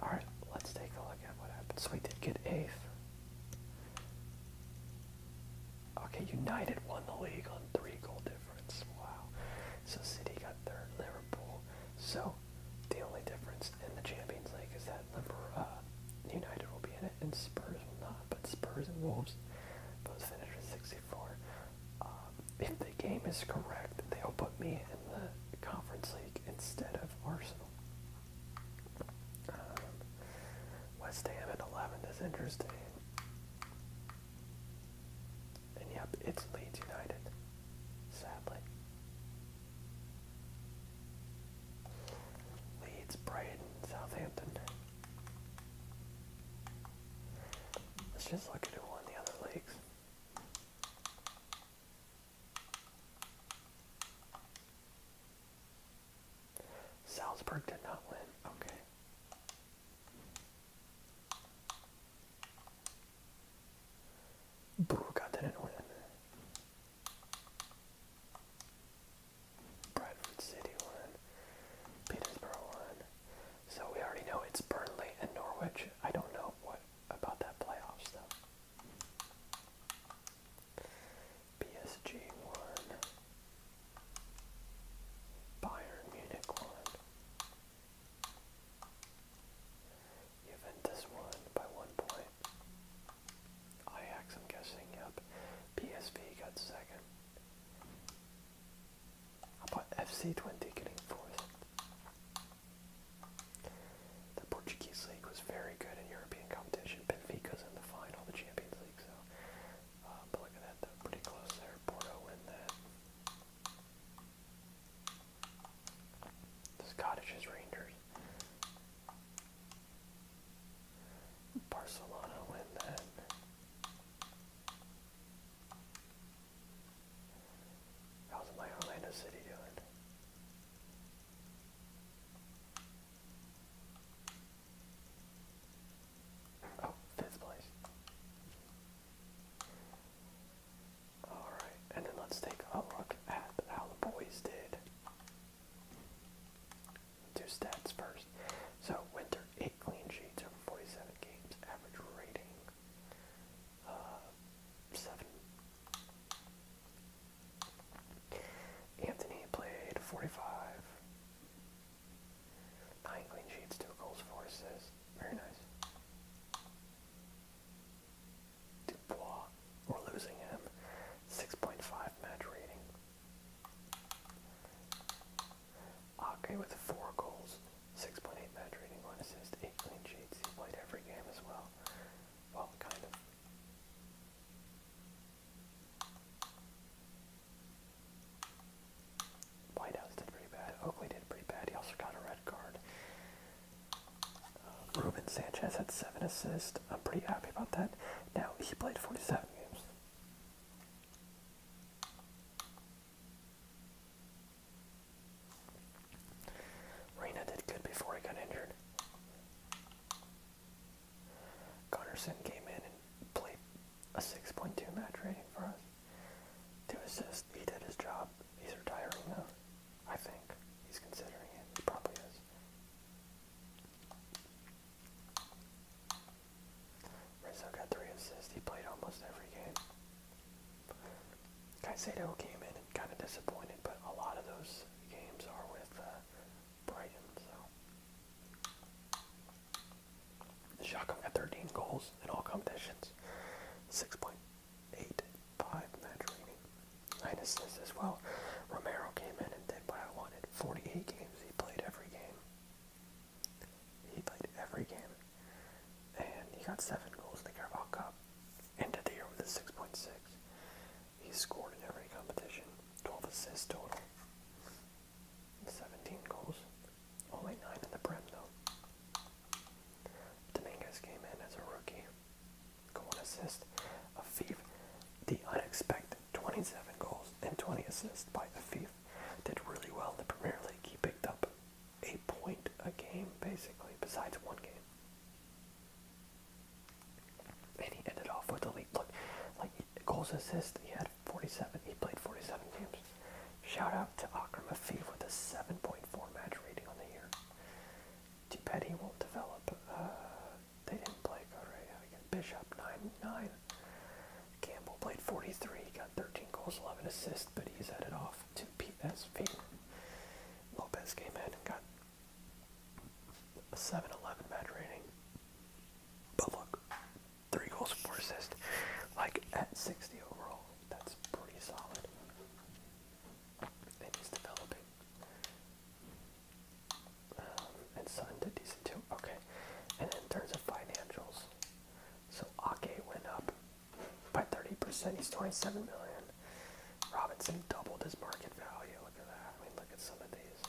Alright, let's take a look at what happened. So we did get eighth. Okay, United won the league on three goal difference. Wow. So City got third, Liverpool. So the only difference in the Champions League is that Liverpool, uh, United will be in it and Spurs will not. But Spurs and Wolves both finished with 64. Um, if the game is correct, they'll put me in the Conference League instead of Arsenal. Um, West Ham at 11 is interesting. And yep, it's Leeds United, sadly. Leeds, Brighton, Southampton. Let's just look at who won the other leagues. Salzburg did not win. Okay. Brugge didn't win. Bradford City won. Petersburg won. So we already know it's Burnley and Norwich. I don't know what about that playoff stuff. PSG won. Bayern Munich won. Juventus won by one point. Ajax, I'm guessing, yep. PSV got second. How about FC Twenty getting fourth? The Portuguese league was very good in European competition. Benfica's in the final, the Champions League. So, uh, but look at that, pretty close there. Porto win that. The Scottish is Rangers. Barcelona win that. How's my Orlando City doing? Oh, fifth place. Alright, and then let's take a look at how the boys did. Do stats first. So, Winter, 8 clean sheets over 47 games, average rating uh, seven. Anthony played 45. Nine clean sheets, two goals, four assists. Very nice. Dubois, we're losing him. 6.5 match rating. Ake with four goals, 6.8 match rating, 1 assist, 8 clean sheets. He played every game as well. Well, kind of. Whitehouse did pretty bad. Oakley did pretty bad. He also got a red card. Uh, Ruben Sanchez had 7 assists. I'm pretty happy about that. Now, he played 47 games. Reina did good before he got injured. Gunnarsson came in and played a 6.2 match rating for us. Two assists. He did his job. He's retiring now. I think. He's considering it. He probably is. Rizzo got three assists. He played almost every game. Caicedo came in and kind of disappointed, but a lot of those games are with uh, Brighton. So Siakam got 13 goals in all competitions, 6.85 match rating, nine assists as well. Romero came in and did what I wanted. 48 games he played every game. He played every game and he got seven goals in the Carabao Cup. Ended the year with a 6.6. He scored in every competition, 12 assists total, 17 goals, only 9 in the Prem though. Dominguez came in as a rookie, goal and assist. A Afif, the unexpected 27 goals and 20 assists by the Afif, did really well in the Premier League. He picked up a point a game, basically, besides one game. And he ended off with a lead. Look, like goals assists. he had 47. He played 47 games. Shout out to Akram Afif with a 7.4 match rating on the year. Too won't develop. Uh, they didn't play Correa against Bishop 9-9. Campbell played 43. He got 13 goals, 11 assists, but he's headed off to PSV. Lopez came in and got a 7 11 match rating. But look, three goals, four assists. Like at 60 overall, that's pretty solid. And he's developing. Um, and Sun did decent too. Okay. And in terms of financials, so Ake went up by 30%. He's 27 million. Robinson doubled his market value. Look at that. I mean, look at some of these.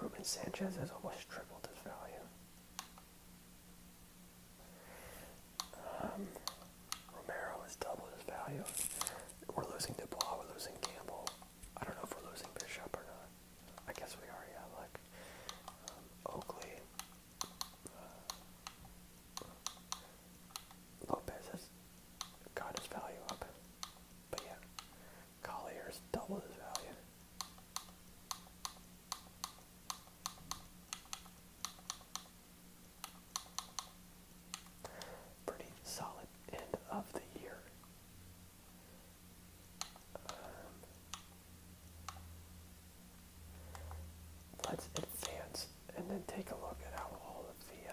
Ruben Sanchez has almost tripled his value. Um, Romero has doubled his value. We're losing Dubois. We're losing Campbell. I don't know if we're losing Bishop or not. I guess we are. Yeah. Like um, Oakley, Lopez has got his value up. But yeah, Collier's doubled his value. Pretty solid end of the year. Um, Let's advance and then take a look at how all of the. Uh,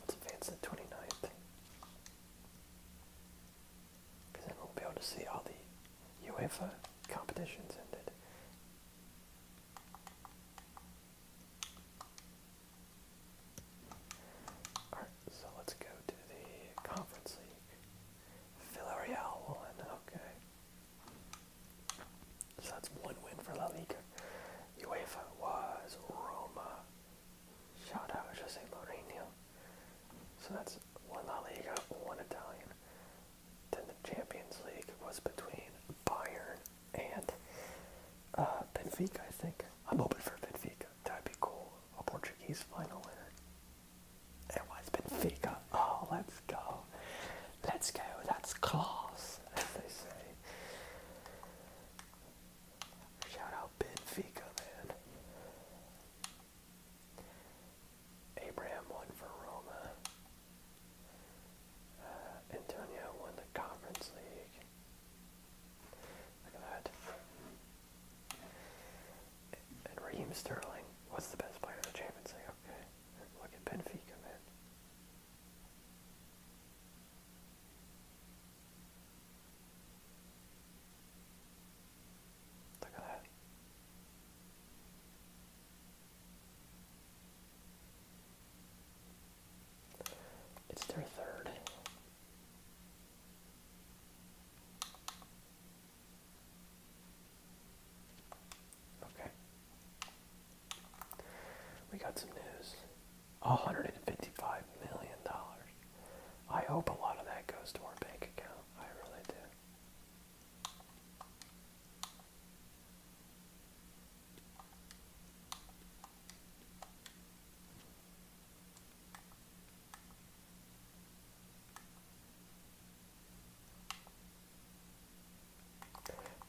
let's advance the 29th. Because then we'll be able to see all the UEFA competitions ended. Alright, so let's go to the Conference League. Villarreal won. Okay. So that's one win for La Liga. UEFA was Roma. Shout out Jose Mourinho. So that's one La Liga, one Italian. Then the Champions League was between Bayern and uh, Benfica, I think. I'm hoping for Benfica. That'd be cool. A Portuguese final winner. It was Benfica. Oh, let's go. Let's go. That's class, as they say. Shout out Benfica, man. Abraham won for Roma. Uh, Antonio won the Conference League. Look at that. And Raheem Sterling was the best player in the Champions League. Okay, look at Benfica, man. Look at that. It's their third. Okay. We got some news. $155 million. I hope a lot of that goes to our bank account. I really do.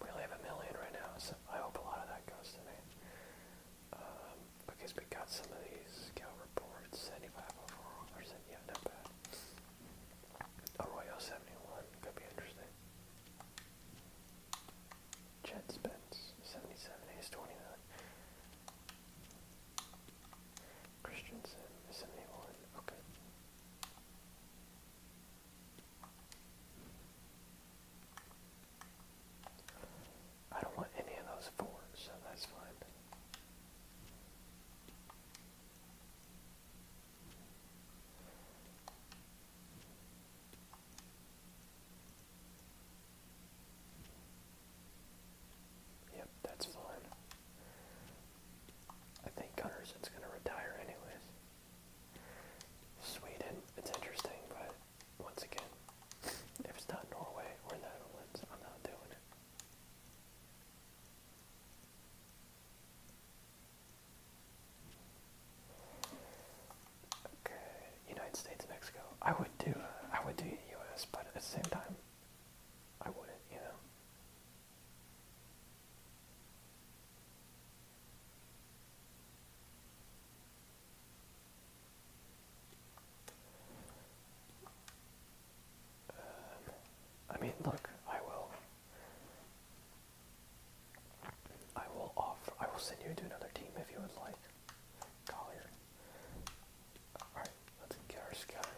We only have a million right now, so I hope a lot of that goes to me. Um, because we got some of these scout reports, 75 overall, percent yeah, not bad. Arroyo 71, could be interesting. Chet Spence, 77, he's Christensen, seventy-one. Okay. I don't want any of those four, so that's fine. Yep, that's fine. I think Gunnarsson's going to retire anyways. Sweden, it's interesting, but once again, if it's not Norway or Netherlands, I'm not doing it. Okay, United States, Mexico. I would do, uh, I would do U.S., but at the same time, I wouldn't, you know. Um, I mean, look, I will. I will offer. I will send you to another team if you would like. Collier. Alright, Let's get our scouting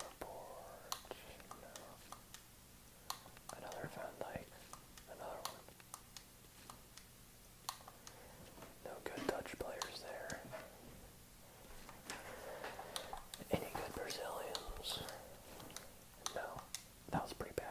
Another Van Dyke. Another one. No good Dutch players there. Any good Brazilians? No. That was pretty bad.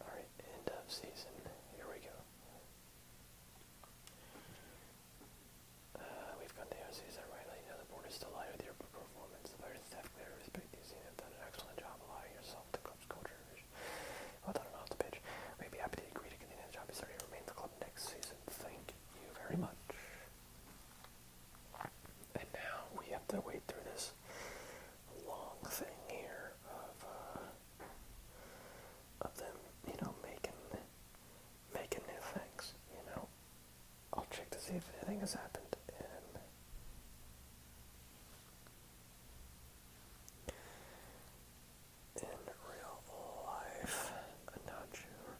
All right, end of season. Here we go. Uh, we've got the OCs that rightly know the board is delighted with your performance. The players have clearly respect you you have done an excellent job allowing yourself the club's culture I vision. Well done off the pitch. We'd be happy to agree to continue the job He's started and remain the club next season. Thank you very much. And now we have to wait through this long thing here of uh, of them, you know, making making new things, you know. I'll check to see if anything has happened um, in real life. I'm not sure.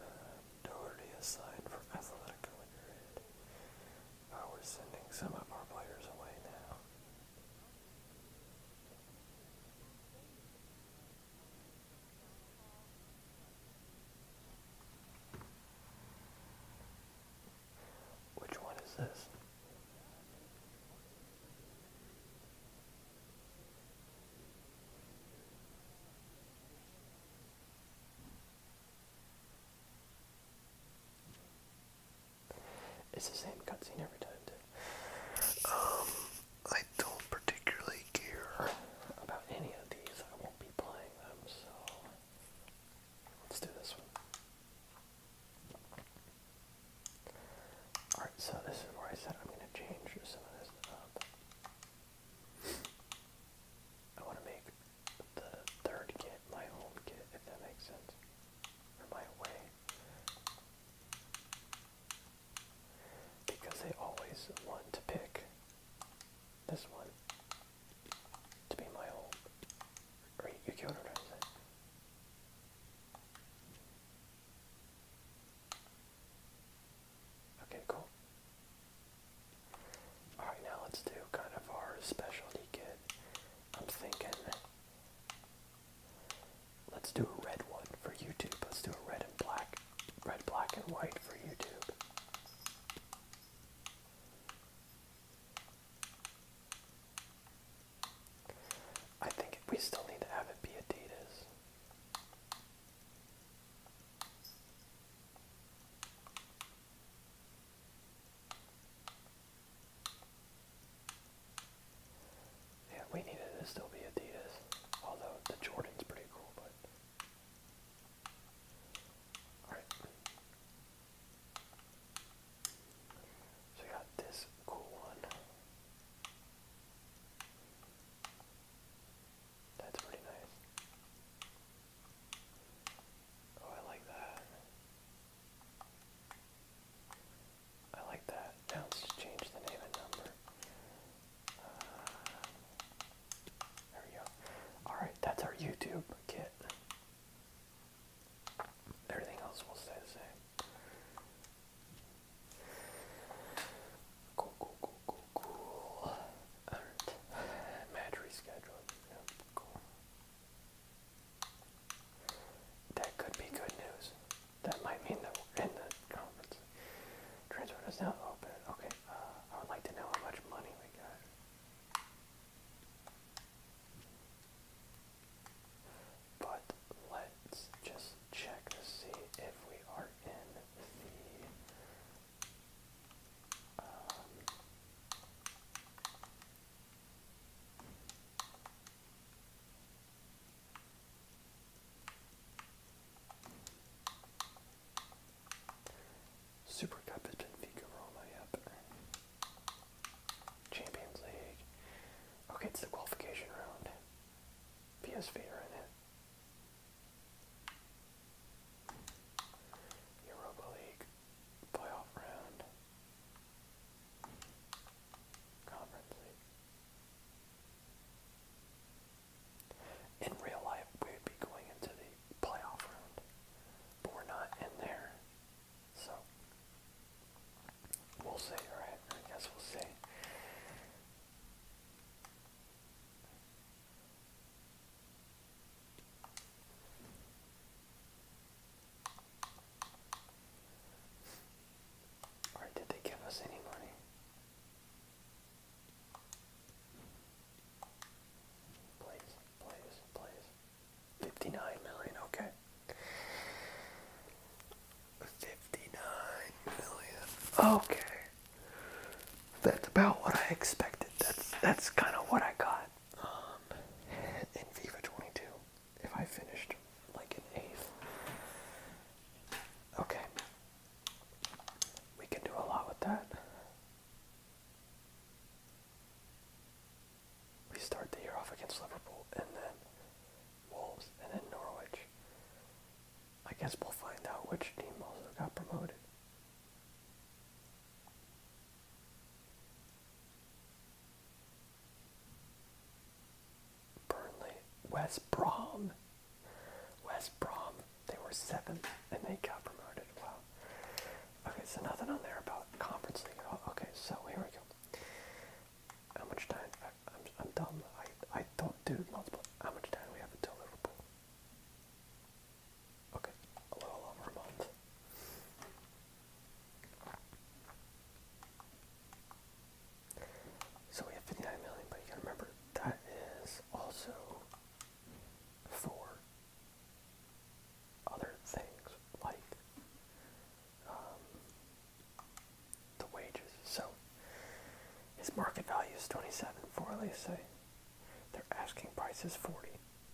Um, Doherty for Atletico Madrid. Uh, we're sending some of our players away now. Which one is this? It's the same cutscene every time, Um, I don't particularly care about any of these. I won't be playing them, so let's do this one. Alright, so this is where I said I'm going to change some of this up. I want to make the third kit my home kit, if that makes sense. Or my away because they always want to pick this one to be my home. Or you can organize it. Okay, cool. Alright, now let's do kind of our specialty kit. I'm thinking let's do a red one for YouTube. Let's do a red and black red, black, and white for YouTube. I think we still need to have it be Adidas. Yeah, we needed to still be Adidas. Although the Jordan's pretty cool, but so we got this cool one. That's pretty nice. Oh, I like that. I like that. Now let's just change the name and number. There we go. Alright, that's our YouTube kit. Everything else will stay the same. Cool, cool, cool, cool, cool. Alright. Match rescheduled. cool. That could be good news. That might mean that we're in the conference. Transfer is now open. Okay, uh, I would like to know how much money we got. But let's just check to see if we are in the. Um, Super Cup has been Figo Roma, yep. Champions League. Okay, it's the qualification round. PSV are in it. Europa League playoff round. Conference in real life, we would be going into the playoff round, but we're not in there. So, we'll see, right? I guess we'll see. Alright, did they give us any money? Plays, plays, plays. 59 million, okay. 59 million, okay. That's about what I expected. That's that's kind of what I got. Um, in FIFA 22, if I finished like an eighth. Okay, we can do a lot with that. We start the year off against Liverpool and then Wolves and then Norwich. I guess we'll find out which team also got promoted. Burnley, West Brom. West Brom, they were seventh and they got promoted. Wow. Okay, so nothing on there about conference league at all. Okay, so here we go. How much time? I, am i dumb. I, I don't do multiple. How much time do we have until Liverpool? Okay, a little over a month. So we have 59 million, but you gotta remember that is also for other things like um, the wages. So his market value is 27 for let's say. Their asking price is 40,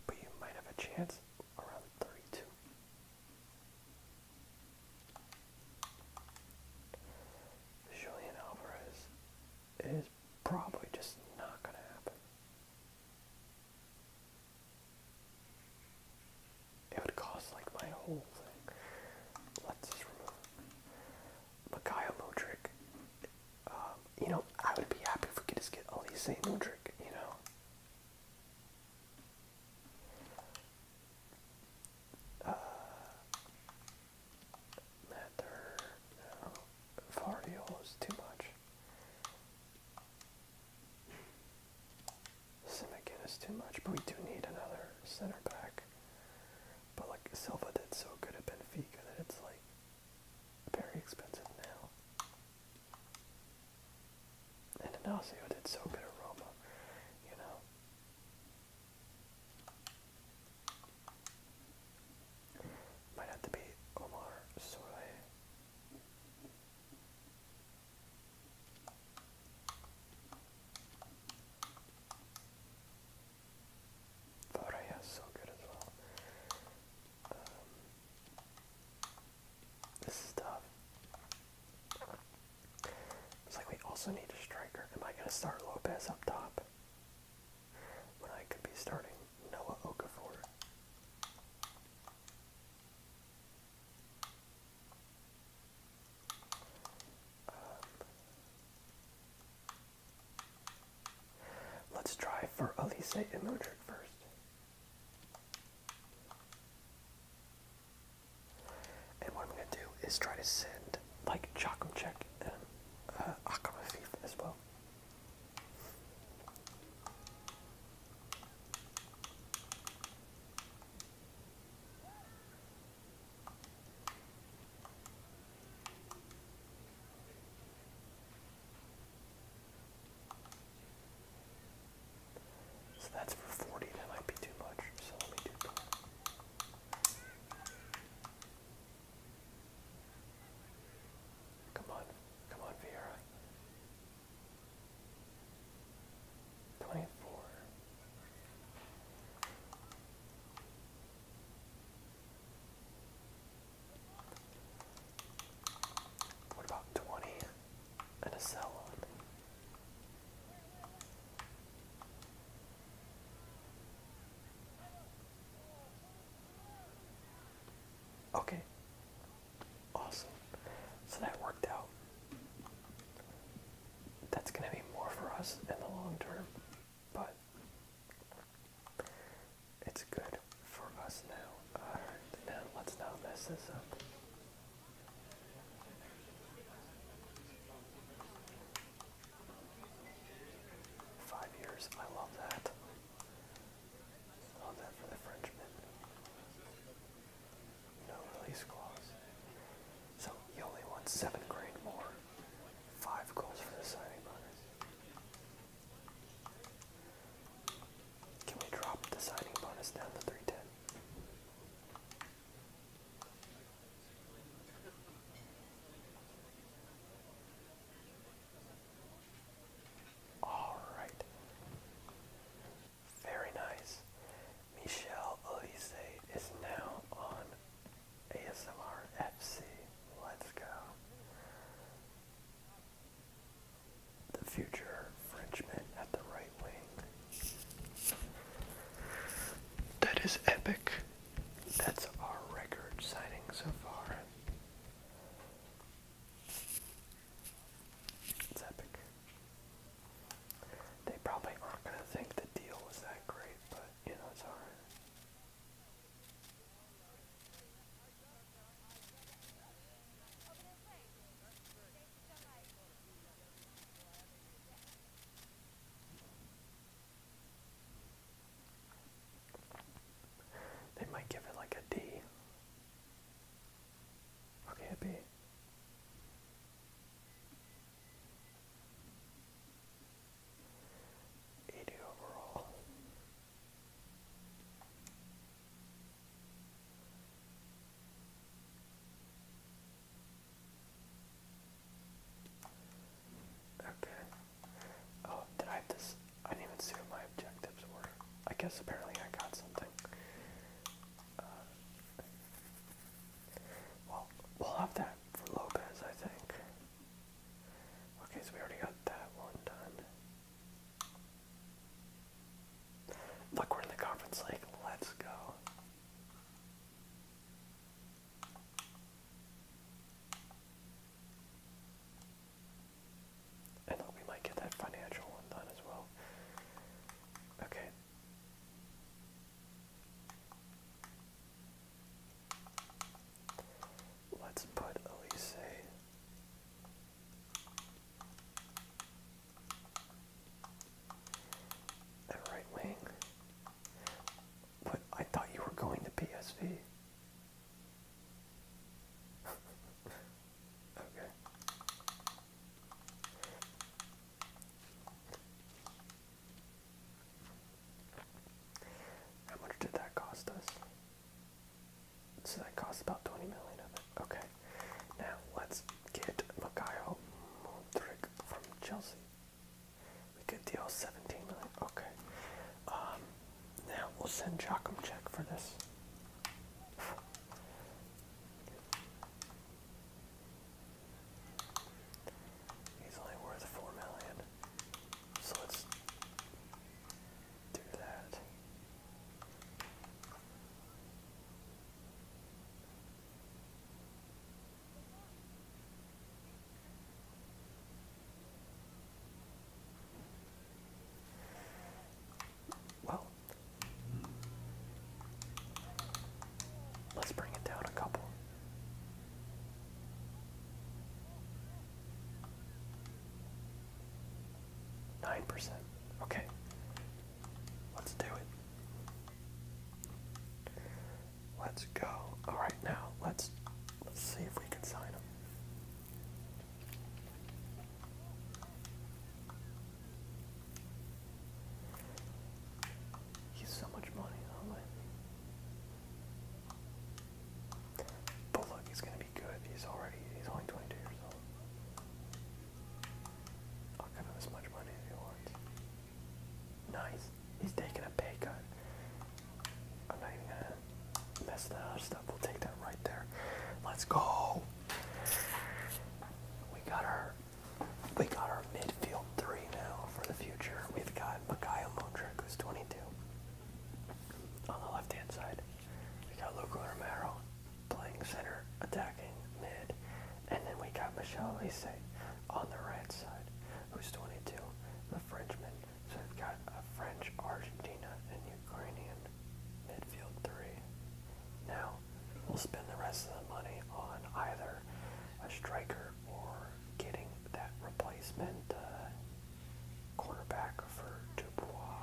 but you might have a chance around 32. Julian Alvarez is probably just not going to happen. It would cost like my whole thing. Let's remove Mikhail um, you know, I would be happy if we could just get Elise Modric, you know. Uh, leather, no, Vario is too much. Simikin is too much, but we do need another center back. But like Silva did so good at Benfica that it's like very expensive now. And Inacio did so good at Roma, you know. Might have to be Omar Soleil. Varaya is so good as well. Um, this is tough. It's like we also need a striker. Am I gonna start Lopez up top? when I could be starting Noah Okafor. Um, let's try for Elise and Modric first. And what I'm going to do is try to send like Chakumchek and uh, Akamafif as well. So that's for 40, that might be too much, so let me do Come on, come on, Vieira. Twenty-four. What about twenty and a cell on? Okay. Awesome. So that worked out. That's going to be more for us in the long term, but it's good for us now. Alright, uh, now let's not this up. Five years, I love that. Love that for the Frenchman. No release clause. So he only wants seven grand more. Five goals for the signing bonus. Can we drop the signing bonus down to 310? All right. Very nice. Michelle Elise is now on ASMR Let's go. The future Frenchman at the right wing. That is epic. That's our record signing so far. It's epic. They probably aren't going to think the deal was that great, but you know, it's alright. They might give it like a D. Okay, a B. Eighty overall. Okay. Oh, did I this? I didn't even see what my objectives were. I guess apparently I got something. Uh, well, we'll have that for Lopez, I think. Okay, so we already got that one done. Look, we're in the conference league. Let's go. And look, we might get that financial one done as well. Okay. Let's put Elise. At right wing, but I thought you were going to PSV. okay. How much did that cost us? So that cost about 20 million Okay. Now let's get Mikhail Mudrik from Chelsea. We did the old 17 million. Okay. Um, now we'll send Joachim check for this. He's only worth 4 million. So let's do that. Well, let's bring it down a couple. Nine percent. Okay. Let's do it. Let's go. All right, now let's let's see if we can sign him. He's so much money, But look, he's gonna be good. He's already he's only 22 years old. I'll give him as much money as he wants. Nice. He's taking a pay cut. I'm not even gonna mess that other stuff. We'll take that right there. Let's go. We got our we got our midfield three now for the future. We've got Mikhail Motrick, who's 22. On the left-hand side, we got Luca Romero playing center, attacking mid, and then we got Michelle Lise on the right side, who's 22, the Frenchman. So we've got a French, Argentina, and Ukrainian midfield three. Now, we'll spend the rest of the money on either a striker or getting that replacement uh, quarterback for Dubois.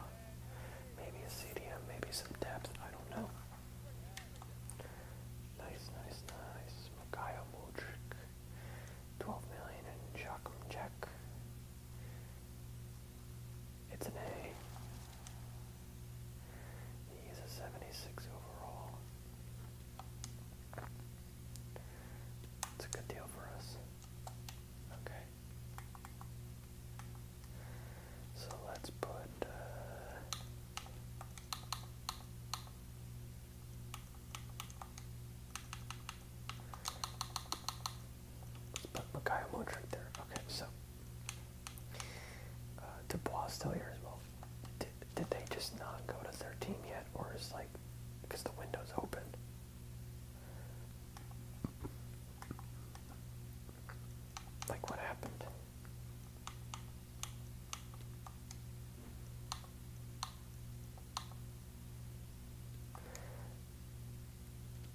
Maybe a CDM, maybe some depth, I don't know. Nice, nice, nice. Mikhail Modric. 12 million and Joachim Jack. It's an A. He's a 76 overall. It's a good deal for us. Okay. So let's put uh, but Makayo right there. Okay, so uh, Dubois still here as well. Did, did they just not go to their team yet, or is like because the window's open? Like what happened?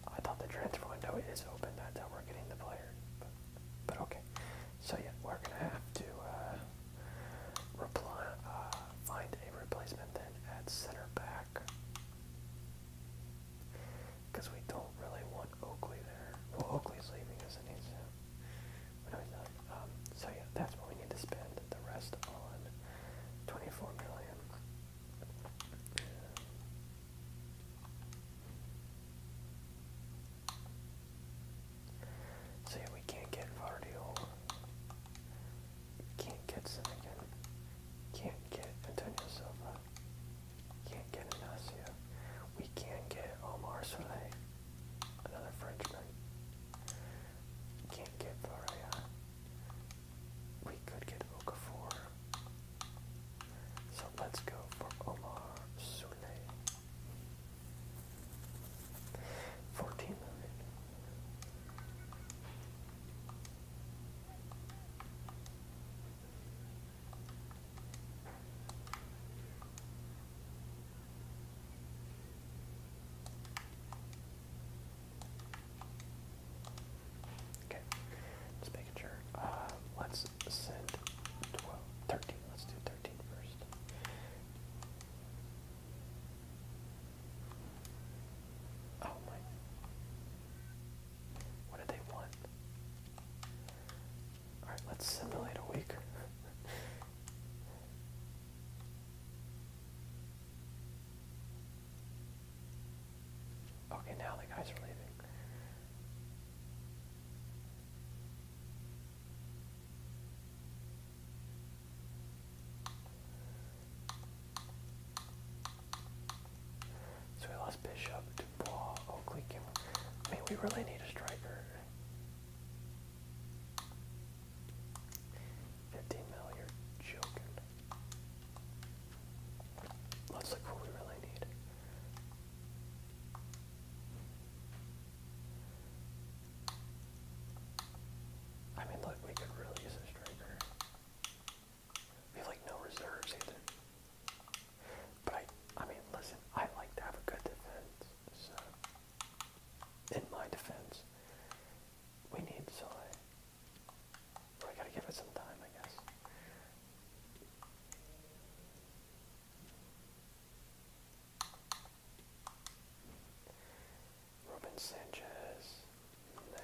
I thought the transfer window is open. That's how we're getting the player. But, okay. So yeah, we're gonna have to uh, uh find a replacement then at center back because we don't really want Oakley there. Well, Oakley's leaving, isn't he? Um, so yeah, that's what we need to spend the rest on. 24 million. Yeah. we can't get Vardiol. Can't get Senegan. Can't get Antonio Silva. Can't get Ignacio. We can't get Omar Soleil. Another Frenchman. Can't get Varela. We could get Okafor. So let's go for Omar Sule. 14 million. Okay, just making sure. Uh, let's send 12, 13. Let's do 13 first. Oh my. What do they want? Alright, let's simulate a week. okay, now the guys are leaving. So we lost Bishop, Dubois, Oakley, Kimmer. I mean, we really need a striker. Fifteen mil, you're joking. Let's look what we really need. I mean, look, we could really use a striker. We have like no reserves either. But I, I mean, listen, I like to have a good defense. So, in my defense, we need Soleil. We gotta give it some time, I guess. Ruben Sanchez. Nah.